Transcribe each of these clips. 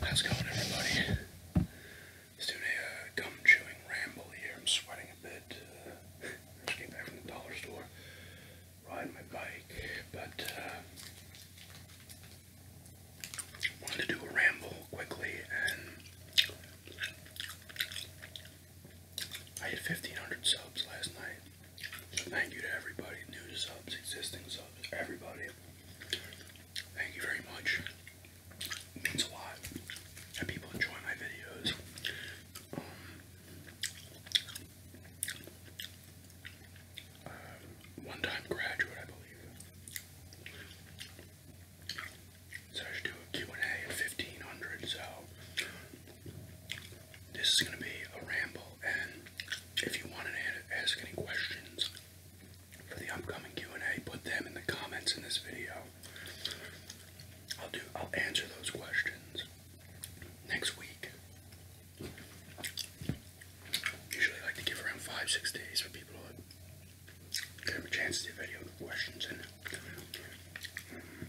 How's it going, everybody? Let's a uh, gum chewing ramble here. I'm sweating a bit. Uh, just came back from the dollar store, riding my bike, but uh, wanted to do a ramble quickly, and I hit 1,500 subs last night. Thank you to everybody, new subs, existing subs, everybody. Thank you very much. means a lot people enjoy my videos. Um, uh, one time graduate, I believe. So I should do a Q&A at 1500, so this is gonna be a ramble, and if you want to ask any questions for the upcoming Q&A, put them in the comments in this video. I'll do. I'll answer those questions next week. Usually, like to give around five, six days for people to get a chance to video the questions and. Um,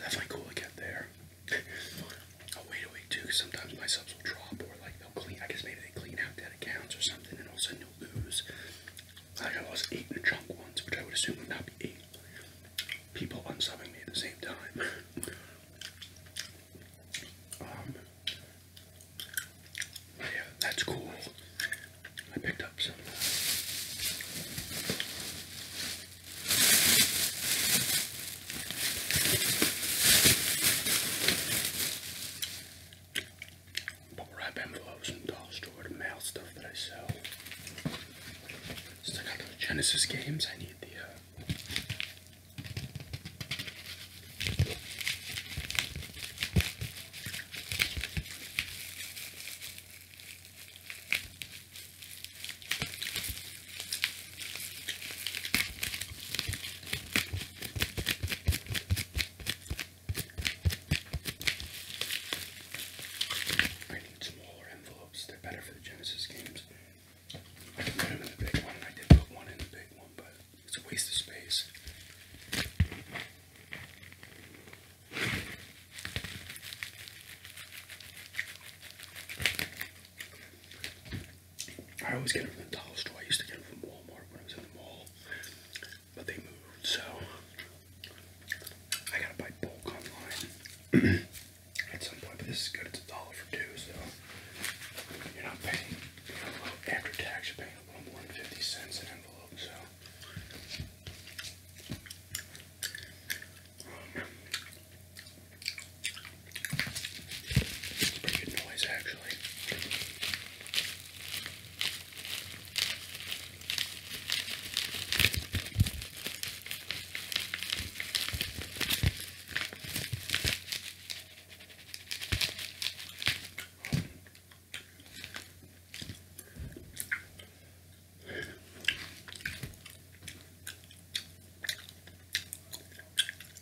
that's definitely cool to get there. Oh will wait a week too, because sometimes my subs will drop or like they'll clean. I guess maybe they clean out dead accounts or something, and all of a sudden you'll lose. Like I lost eight in a chunk once, which I would assume would not be eight people unsubbing me at the same time. um, yeah, that's cool. I picked up some Bubble wrap envelopes and doll store to mail stuff that I sell. Since I got those Genesis games, I need the. Uh, I need smaller envelopes, they're better for the Genesis games. I put them in the big one, I did put one in the big one, but it's a waste of space. I always get them from the dollar store. I used to get them from Walmart when I was in the mall, but they moved, so I gotta buy bulk online at some point. But this is good. It's a dollar for two, so you're not paying you know, little, after tax. You're paying a little more than fifty cents an envelope. So it's pretty good noise, actually.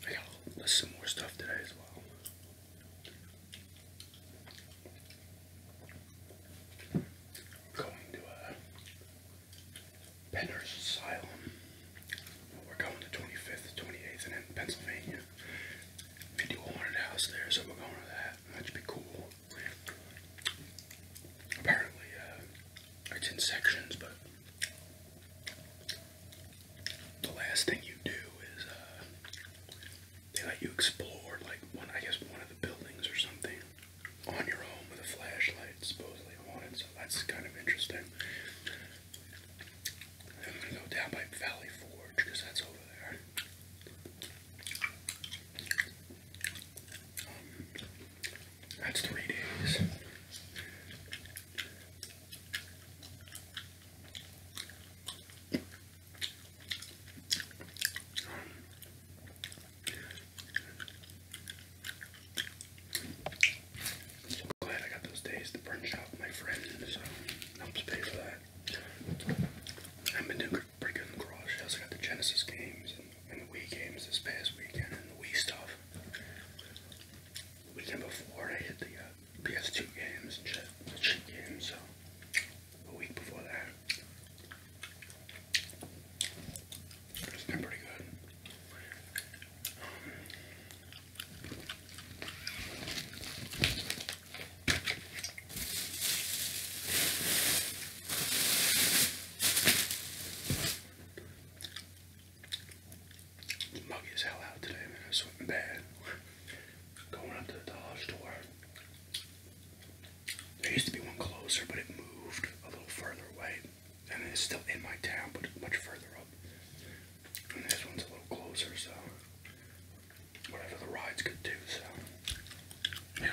I got some more stuff today as well. I'm going to a uh, Penner's Asylum. We're going to 25th, 28th, in Pennsylvania. We haunted house there, so we're going to that that. That'd be cool. Apparently, uh, it's in sections, but the last thing you do is uh, they let you explore, like I guess, one of the buildings or something on your own with a flashlight, supposedly on So that's kind of interesting. I'm gonna go down by Valley Forge because that's over there. That's three days. Um, glad I got those days to branch out with my friends, so helps for that. I've been doing pretty good in the garage. I also got the Genesis games and, the Wii games this past weekend and the Wii stuff. The weekend before, I hit the uh, PS2 games and the cheat games, so a week before that. It's pretty good. Um, Muggy as hell out today, man. I'm sweating bad. Going up to the dollar store. There used to be one closer, but it moved a little further away. and it's still in my town, but much further up this one's a little closer, so whatever the ride's good too, so yeah.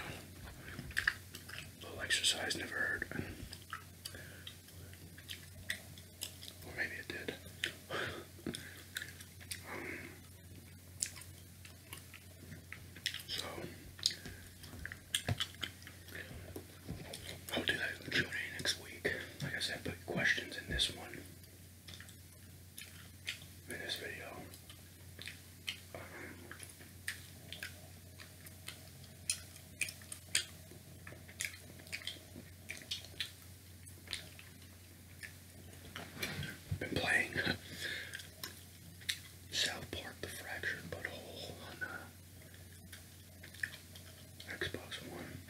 little exercise never hurt. Or maybe it did. Um, so I'll do that q next week. Like I said, questions in this one, in this video. been playing South Park: The Fractured Butthole on uh, Xbox One.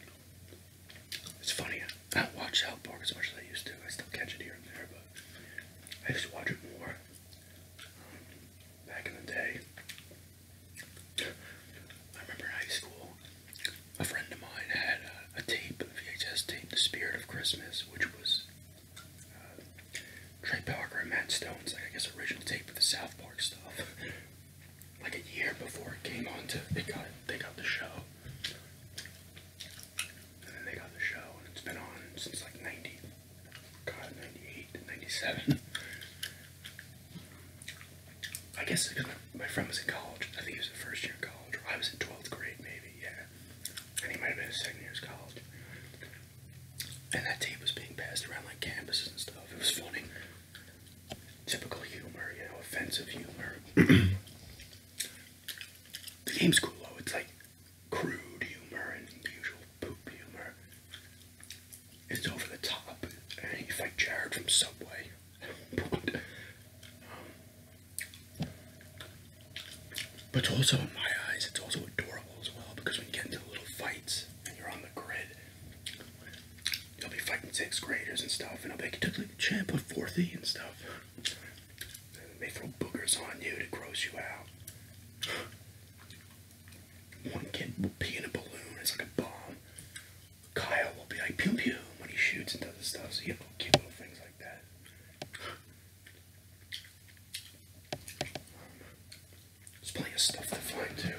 It's funny, I don't watch South Park as much as I used to. I still catch it here and there, but I used to watch it more um, back in the day. I remember high school, a friend of mine had a, a tape, a VHS tape, The Spirit of Christmas, which was uh, Trey Parker and Matt Stone's, I guess, original tape of the South Park stuff. like a year before it came on to they got they got the show. And then they got the show and it's been on since like 90 God 98 97. I guess because my, my friend was in college. I think he was in first year college, or I was in 12th grade maybe, yeah. And he might have been in second year's college. And that tape was being passed around like campuses and stuff. It was funny typical humor, you know, offensive humor. the game's cool though, it's like crude humor and usual poop humor. It's over the top. I mean, you fight Jared from Subway. but, also, in my eyes, it's also adorable as well because when you get into little fights and you're on the grid, You'll be fighting sixth graders and stuff, and I'll be like, you took the champ of fourth E and stuff. And they throw boogers on you to gross you out. One kid will pee in a balloon, it's like a bomb. Kyle will be like, pew pew, when he shoots and does his stuff, so you have cute little things like that. There's plenty of stuff to find too.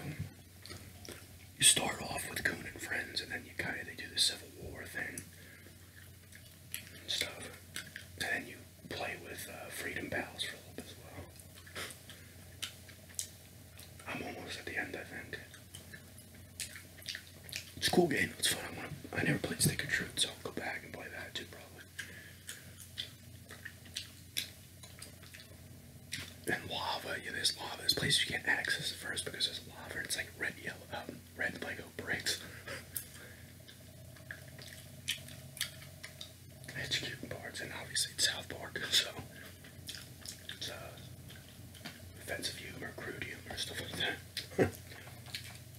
You start off with Coon and Friends, and then you kind of they do the Civil War thing and stuff, and then you play with uh, Freedom Pals for a as well. I'm almost at the end, I think. It's a cool game. It's fun. I, never played Stick and Truth, so I'll go back and play that too, probably. And lava, yeah, there's lava. There's place you can't access at first because there's lava. And it's like red, yellow, um, red Lego bricks. it's cute birds and obviously South Park, so it's uh, offensive humor, crude humor, stuff like that.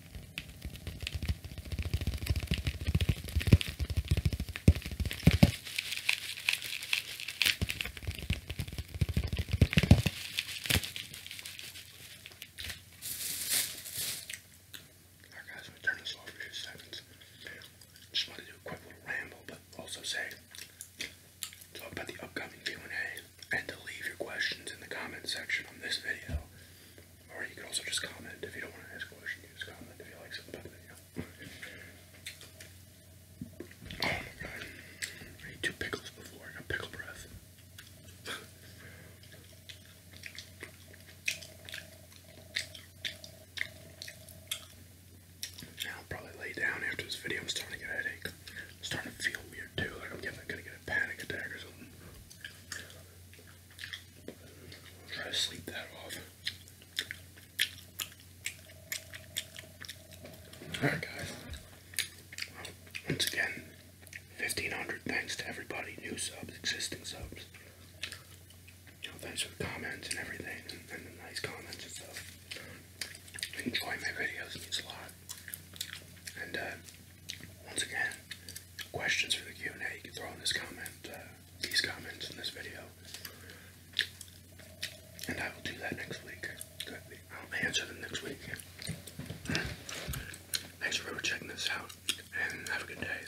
Alright guys, I'm turning slow for a seconds. Just want to do a quick little ramble, but also say talk about the upcoming Q&A and to leave your questions in the comment section on this video. Or you can also just comment if you don't want to ask a question, just comment if you like something about the video. oh my god. I ate two pickles before and a pickle breath. Now I'll probably lay down after this video. I'm starting to get a headache. I'm starting to feel weird too, like I'm gonna get a panic attack or something. Try to sleep that off. Alright, guys. once again, 1500 thanks to everybody new subs, existing subs. You know, thanks for comments and everything, and the nice comments and stuff. Enjoy my videos, means a lot. And, uh, once again, questions for the Q&A you can throw in this comment, uh, these comments in this video, and I will do that next week. I'll answer them next week. Thanks for checking this out, and have a good day.